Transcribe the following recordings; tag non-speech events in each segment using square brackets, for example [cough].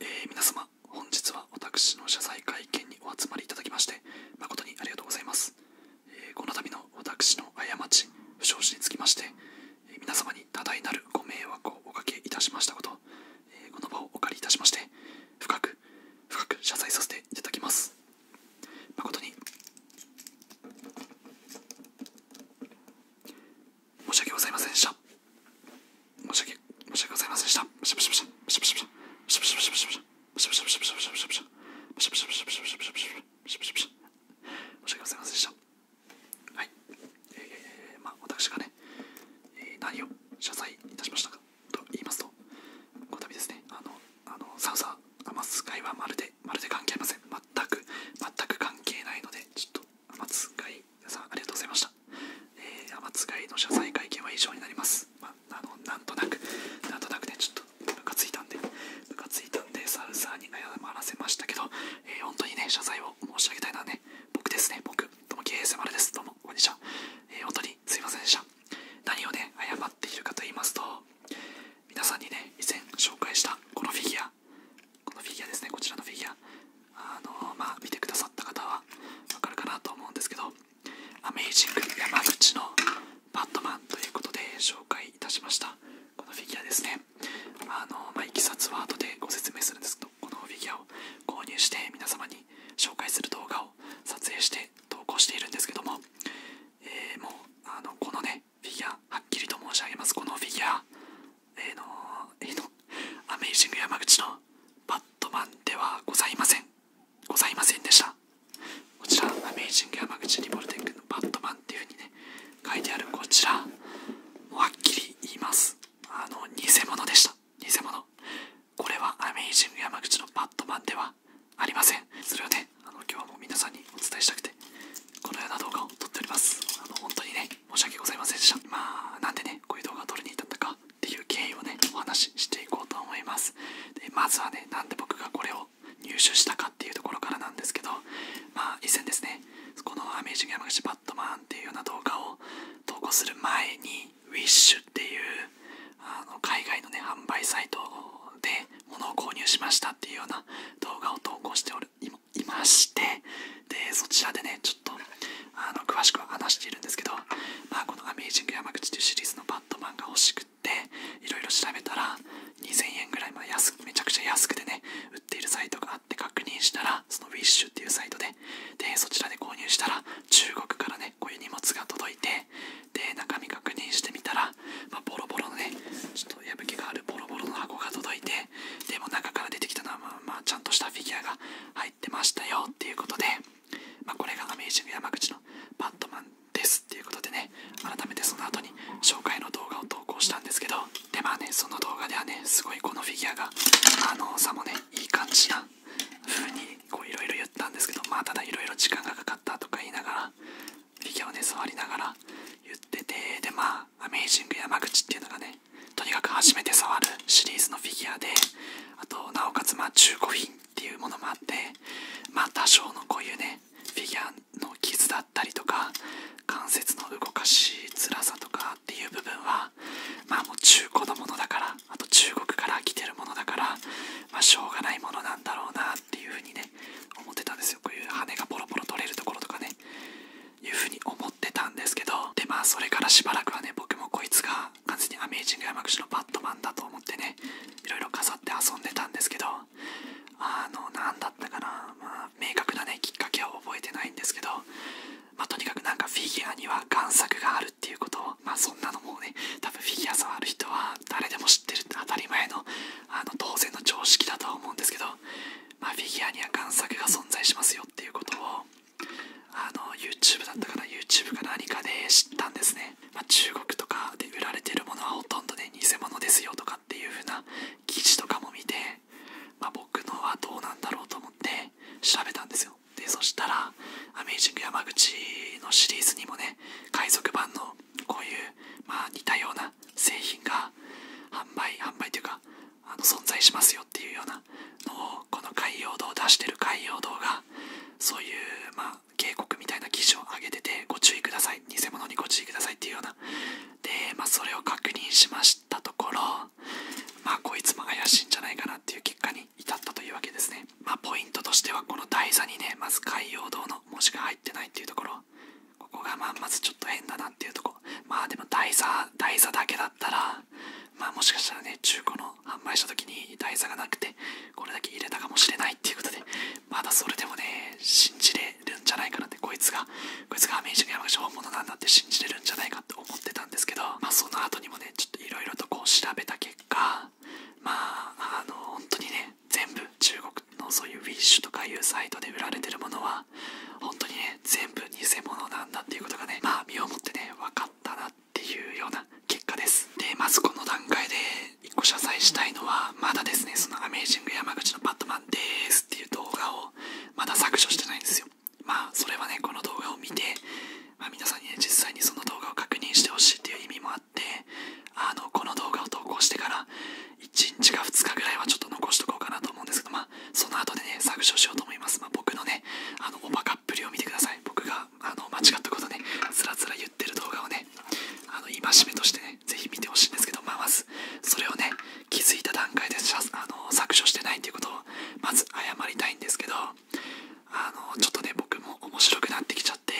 え皆様、本日は私の謝罪会見にお集まりいただきまして、誠にありがとうございます。えこの度の私の過ち、不祥事につきまして、え皆様に多大なるご迷惑をおかけいたしましたこと、えこの場をお借りいたしまして、深く、深く謝罪させていただきます。誠に申し訳ございませんでした申し訳申し訳ございませんでしたむしゃむしゃむしゃむしゃ申し訳ございませんでしたはいえー、まあ私がね、えー、何を謝罪いたしましたかと言いますとこの度ですねあのあのサウザー余す会はまるでまるで関係ありません全く全く関係ないのでちょっと天津貝さんありがとうございました、え天津貝の謝罪会見は以上になります、まあ、のなんとなくなんとなくねちょっとムカついたんでムカついたんでサウザーに謝らせましたけど、え本当にね謝罪を申し上げたいのはね僕ですね僕とも k s m ですどうもこんにちは、え本当にすいませんでした何をね謝っているかと言いますと皆さんにね以前紹介したこのフィギュアこのフィギュアですねこちらのフィギュアあのま見てくださった方は分かるかなと思うんですけどアメイジング山口のバットマンということで紹介いたしましたこのフィギュアですねあのまいきさつは後でご説明するんですけどこのフィギュアを購入して皆様に紹介する動画を撮影して投稿しているんですけども、えもうあのこのねフィギュアはっきりと申し上げますこのフィギュアえのえのアメイジング山口のバットマンではございませんございませんでしたこちらアメイジング山口リボルテンクのバットマンっていう風にね書いてあるこちらはっきり言いますあの偽物でした偽物これはアメイジング山口のバットマンではありませんそれをねあの今日はもう皆さんにお伝えしたくてこのような動画を撮っておりますあの本当にね申し訳ございませんでしたまあなんでねこういう動画を撮りに行ったかっていう経緯をねお話ししていこうと思いますでまずはねなんで僕がこれを入手したかっていうところからなんですけどまあ以前ですねこの「アメージング山口バットマン」っていうような動画を投稿する前にウィッシュっていうあの海外のね販売サイトで物を購入しましたっていうような動画を投稿しておるいましてでそちらでねちょっとあの詳しくは話しているんですけど、まあ、この「アメイジング山口」というシリーズのバットマンが欲しくっていろいろ調べたら2000円ぐらい、まあ、安めちゃくちゃ安くてね売っているサイトがあって確認したらそのウィッシュっていうサイトででそちらで購入したら中国からねこういう荷物が届いてで中身確認してみたら、まボロボロのねちょっと破けがあるボロボロの箱が届いてでも中から出てきたのは、まあ、まあちゃんとしたフィギュアが入ってましたよっていうことで、まあ、これがアメージング山口のバットマンですっていうことでね改めてその後に紹介の動画を投稿したんですけどでまあねその動画ではねすごいこのフィギュアがあのさもねいい感じな風にいろいろ言ったんですけどまあただいろいろ時間がかかったとか言いながらフィギュアをね座りながら言っててでまあアメイジング山口っていうのがねとにかく初めて触るシリーズのフィギュアであとなおかつまあ中古品っていうものもあってまあ多少のこういうねフィギュアの傷だったりとか関節の動かしづらさとかっていう部分はまあもう中古のものだからあと中国から来てるものだからまあしょうがないものなんだろうなっていう風にね思ってたんですよこういう羽がポロポロ取れるところとかねいうふうに思ってたんですけどでまあそれからしばらくはね僕もこいつが完全にアメージング山口のバットマンだと思ってねいろいろ飾って遊んでたんですけどあの何だったかな、まあ、明確なねきっかけは覚えてないんですけど、まあ、とにかくなんかフィギュアには贋作があるっていうことをまあそんなのもね多分フィギュア触る人は誰でも知ってるって当たり前のあの当然の常識だとは思うんですけどまフィギュアには贋作が存在しますよっていうことをあの YouTube だったかな YouTube か何かで知ったんですね、ま中国とかで売られてるものはほとんどね偽物ですよとかっていう風な記事とかも見て、ま僕のはどうなんだろうと思って調べたんですよでそしたら「アメイジング山口」のシリーズにもね海賊版のこういう、ま似たような製品が販売販売というかあの存在しますよっていうようなのをこの海洋堂を出してる海洋堂がそういうま警告みたいな記事を上げててご注意ください偽物にご注意くださいっていうようなでまそれを確認しましたところまあこいつも怪しいんじゃないかなっていう結果に至ったというわけですねまあポイントとしてはこの台座にねまず海洋堂の文字が入ってないっていうところここがまあまずちょっと変だなっていうとこまあでも台座台座だけだったらまあもしかしたらね中古の販売した時に台座がなくてこれだけ入れたかもしれないっていうことでまだそれでもね信じれるんじゃないかなってこいつがこいつがアメージング山口本物なんだって信じれるんじゃないかって思ってたんですけどまあその後にもねちょっといろいろとこう調べた結果まああの本当にね全部中国のそういうウィッシュとかいうサイトで売られてるものはが本当にね全部偽物なんだっていうことがねまあ身をもってね分かったなっていうような結果ですでまずこの段階で1個謝罪したいのはまだですねその「アメイジング山口のバットマンです」っていう動画をまだ削除してないんですよまあそれはねこの動画を見て、あ、皆さんにね実際にその動画を確認してほしいっていう意味もあってあのこの動画を投稿してから1日か2日ぐらいはちょっと残しとこうかなと思うんですけど、まあ、その後でね、削除しようと思います。ま僕のね、あの、おバカっぷりを見てください。僕が、あの、間違ったことね、つらつら言ってる動画をね、あの、戒めとしてね、ぜひ見てほしいんですけど、まあ、まず、それをね、気づいた段階であの削除してないっていうことを、まず謝りたいんですけど、あの、ちょっとね、僕も面白くなってきちゃって、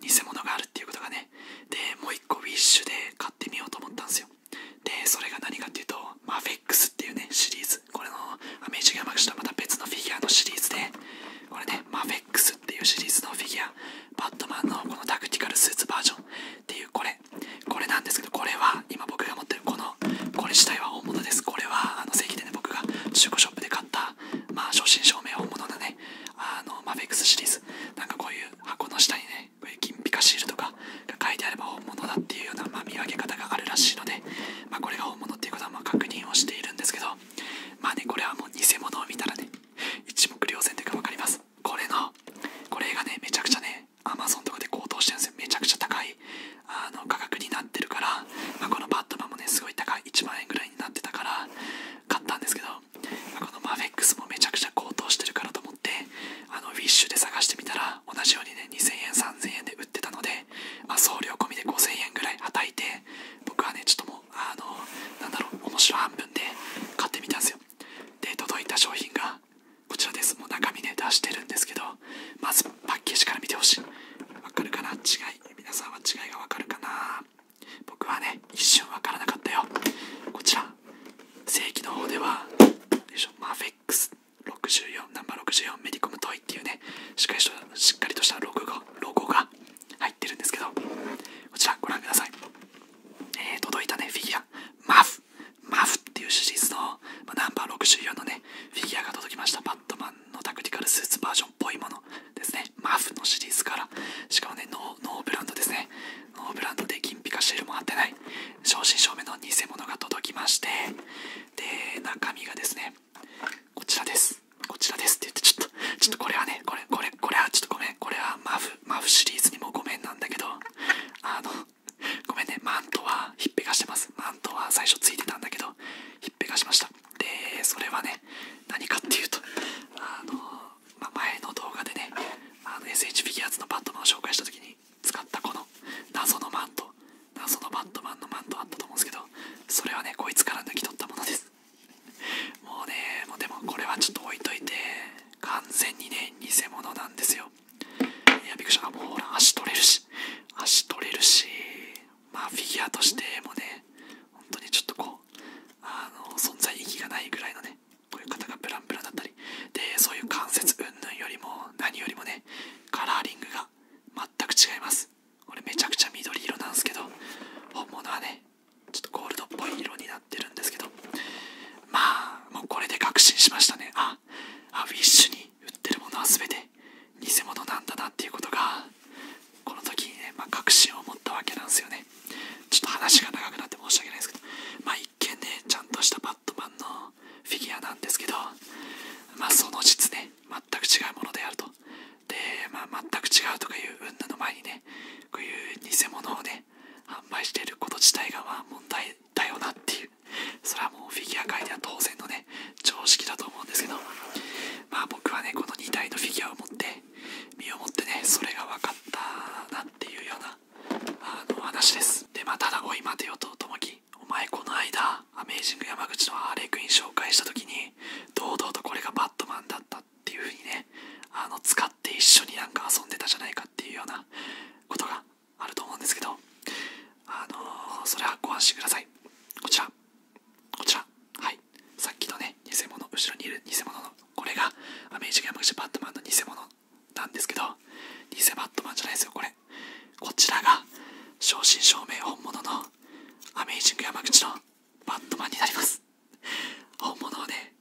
偽物があるっていうことがね、で、もう一個ウィッシュで買ってみようと思ったんですよ。でそれが何かっていうとマフェックスっていうねシリーズこれのアメージがマクシとまた別のフィギュアのシリーズでこれねマフェックスっていうシリーズのフィギュアバットマンのこのタクティカルスーツバージョンっていうこれこれなんですけどこれは今僕が持ってるこのこれ自体は大物ですこれはあの正規でね僕が中古ショップで買ったまあ正真正銘本物のねあのマフェックスシリーズなんかこういう箱の下にねね金ピカシールとかが書いてあれば本物だっていうような、ま見分け方があるらしいので、まこれが本物っていうことはまあ確認をしているんですけどまあねこれはもう偽物を見たらね一目瞭然というか分かりますこれのこれがねめちゃくちゃねアマゾンとかで高騰してるんですよめちゃくちゃ高いあの価格になってるから、まこのバットマンもねすごい高い1万円ぐらいになってたから買ったんですけど、まあ、このマフェックスもめちゃくちゃ高騰してるからと思ってあのウィッシュで探してみたら同じようにね2000円3000円で売ってたので、ま送料込みで5000円ぐらいはたいて僕はねちょっともうあのなんだろう面白半分で買ってみたんですよで届いた商品がこちらですもう中身ね出してるんですけどまずパッケージから見てほしいわかるかな違い皆さんは違いがわかるかな僕はね一瞬わからなかったよこちら正規の方ではマフェックス64ナンバー64メディコムトイっていうねしっかりとしっかりとしたロゴがロが入ってるんですけどこちらご覧ください、え届いたねフィギュアマフマフっていうシリーズの、まナンバー64のねフィギュアが届きましたバットマンのタクティカルスーツバージョンっぽいものですねマフのシリーズからしかもねノーブランドですねノーブランドで金ピカシールも貼ってない正真正銘の偽物が届きましてで中身がですねこちらですこちらですって言ってちょっとちょっとこれはねこれこれこれはちょっとごめんこれはマフマフシリーズにもごめんなんだけどあのごめんねマントはひっぺがしてますマントは最初ついてたんだけどひっぺがしましたでそれはね何かっていうとあのま前の動画でねあの SH フィギュアーズのバットマンを紹介した時に使ったこの謎のマント謎のバットマンのマントあったと思うんですけどそれはねこいつから抜き取ったものですもうねもうでもこれはちょっと置いといて完全にね偽物なんですよいやびクくりしたもうほら足取れるし足取れるしまあフィギュアとしてもね本当にちょっとこうあの存在意義がないぐらいのねこういう方がプランプランだったりでそういう関節うんぬんよりも何よりもねカラーリングが全く違いますこれめちゃくちゃ緑色なんですけど本物はねちょっとゴールドっぽい色になってるんですけどまあもうこれで確信しましたねああウィッシュに売ってるものは全て偽物なんだなっていうことがこの時にね、ま確信を持ったわけなんですよねちょっと話が長くなって申し訳ないですけどまあ一見ねちゃんとしたバットマンのフィギュアなんですけどまあその実ね全く違うものであるとで、ま全く違うとかいう云々の前にねこういう偽物をね販売してること自体がま問題だよなっていうそれはもうフィギュア界では当然のね常識だと思うんですけどまあ僕はねこの2体のフィギュアを持って身をもってねそれが分かったなっていうようなあの話ですでまただおい待てよとともき、お前この間アメージング山口のアーレークイン紹介した時に堂々とこれがバットマンだったっていう風にねあの使って一緒になんか遊んでたじゃないかっていうようなことがあると思うんですけどあのそれはご安心くださいこちらこちらはいさっきのね偽物後ろにいる偽物のこれがアメージング山口バットマンの偽物なんですけど偽バットマンじゃないですよこれこちらが正真正銘本物のアメージング山口のバットマンになります本物をね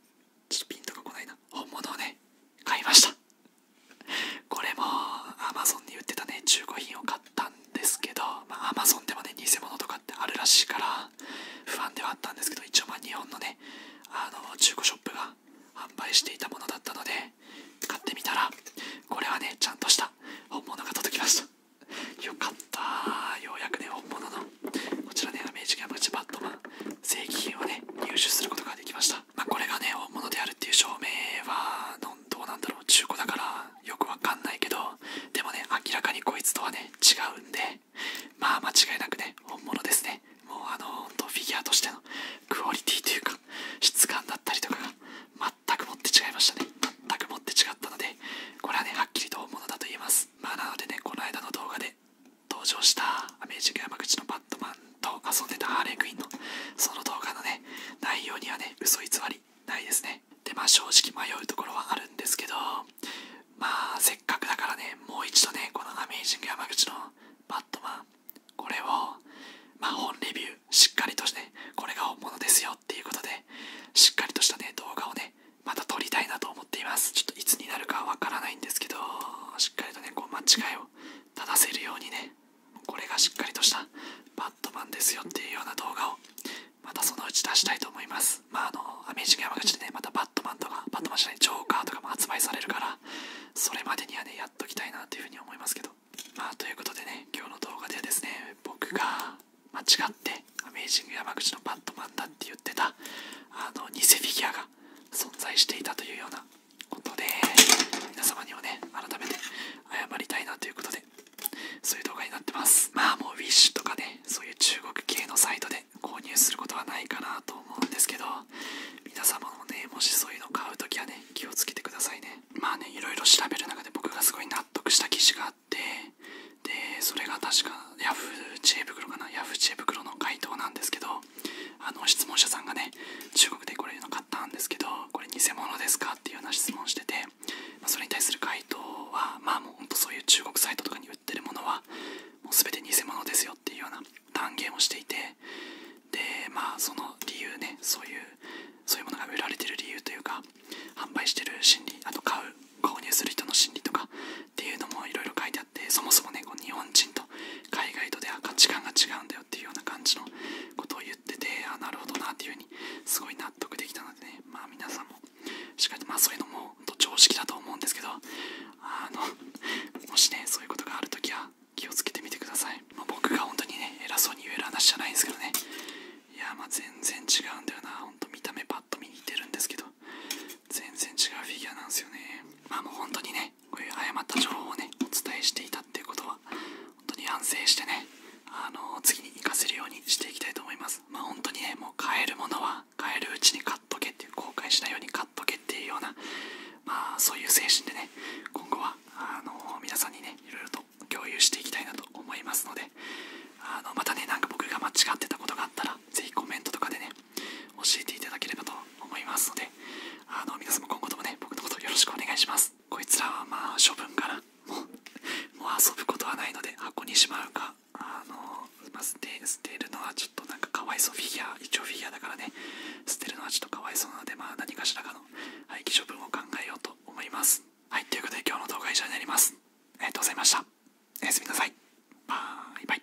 ちょっとピンとこないな本物をね買いましたこれもアマゾンに売ってたね中古品を買ったんですけどまあアマゾンでもね偽物とかってあるらしいから不安ではあったんですけど一応日本のねあの中古ショップが販売していたものだったので買ってみたらこれはねちゃんとした本物が届きましたよかったようやくね本物のこちらねアメージキャンプチバットマン正規品をね入手することができました、まこれがね本物であるっていう証明はどうなんだろう中古だからよくわかんないけどでもね明らかにこいつとはね違うんでまあ間違いなくね本物ですねもうあのー、フィギュアとしてのクオリティというか質感だったりとかが全くもって違いましたね全くもって違ったのでこれはねはっきりと本物だと言えますまあなのでねこの間の動画で登場したアメージング山口のバットマンと遊んでたハーレークイーンのその動画のね内容にはね嘘偽りないですねでまあ正直迷うところはあるんですけどまあせっかくだからねもう一度ねこの「アメイジング山口」のバットマンこれをまあ本レビューしっかりとして、ね、これが本物ですよっていうことでしっかりとしたね動画をねまた撮りたいなと思っていますちょっといつになるかわからないんですけどしっかりとねこう間違いを立たせるようにねこれがしっかりとしたバットマンですよっていうような動画をまたそのうち出したいと思いますまあ、あの、アメージング山口でね、またバットマンとか、バットマンじゃない、ジョーカーとかも発売されるから、それまでにはね、やっときたいなというふうに思いますけど。まあ、ということでね、今日の動画ではですね、僕が間違って、アメージング山口のバットマンだって言ってた、あの、偽フィギュアが存在していたというようなことで、皆様にはね、改めて謝りたいなということで、そういう動画になってます。まあ、もうウィッシュとかね、そういう中国系のサイトで購入することはないかなと思うんですけど皆様もねもしそういうの買う時はね気をつけてくださいねまあねいろいろ調べる中で僕がすごい納得した記事があってでそれが確かヤフー知恵袋かなヤフー知恵袋の回答なんですけどあの質問者さんがね中国でこれうの買ったんですけどこれ偽物ですかっていうような質問してて、それに対する回答はまあもうほんとそういう中国サイトとかに売ってるものはもう全て偽物ですよっていうような断言をしていてでまあその理由ねそういうそういうものが売られてる理由というか販売してる心理あと買う購入する人の心理とかっていうのもいろいろ書いてあってそもそもねこう日本人と海外とでは価値観が違うんだよっていうような感じのことを言っててあなるほどなっていうふうにすごい納得できたのでねまあ皆さんもしっかりとまあそういうのも常識だと思うんですけどあの [laughs] もしねそういうことがあるときは気をつけてみてください、ま僕が本当にね偉そうに言える話じゃないんですけどねいやま全然違うんだよな本当見た目ぱっと見似てるんですけど全然違うフィギュアなんですよねまあもう本当にねこういう誤った情報をねお伝えしていたっていうことは本当に反省してねあの次に活かせるようにしていきたいと思いますま本当にねもう買るものははるうちに買っとけっていう後悔しないように買っとけっていうような、まあ、そういう精神でね今後はあの皆さんにねいろいろと共有していきたいなと思いますのであのまたねなんか僕が間違ってたことがあったら是非コメントとかでね教えていただければと思いますのであの皆様今後ともね僕のことよろしくお願いしますこいつらはまあ処分からもう遊ぶことはないので箱にしまうかあの、まあ、捨て捨てるのはちょっとなんかかわいそうフィギュア一応フィギュアだからね捨てるのはちょっとかわいそうなので、ま何かしらかの廃棄処分を考えようと思いますはいということで今日の動画は以上になりますありがとうございましたおやすみなさいバイバイ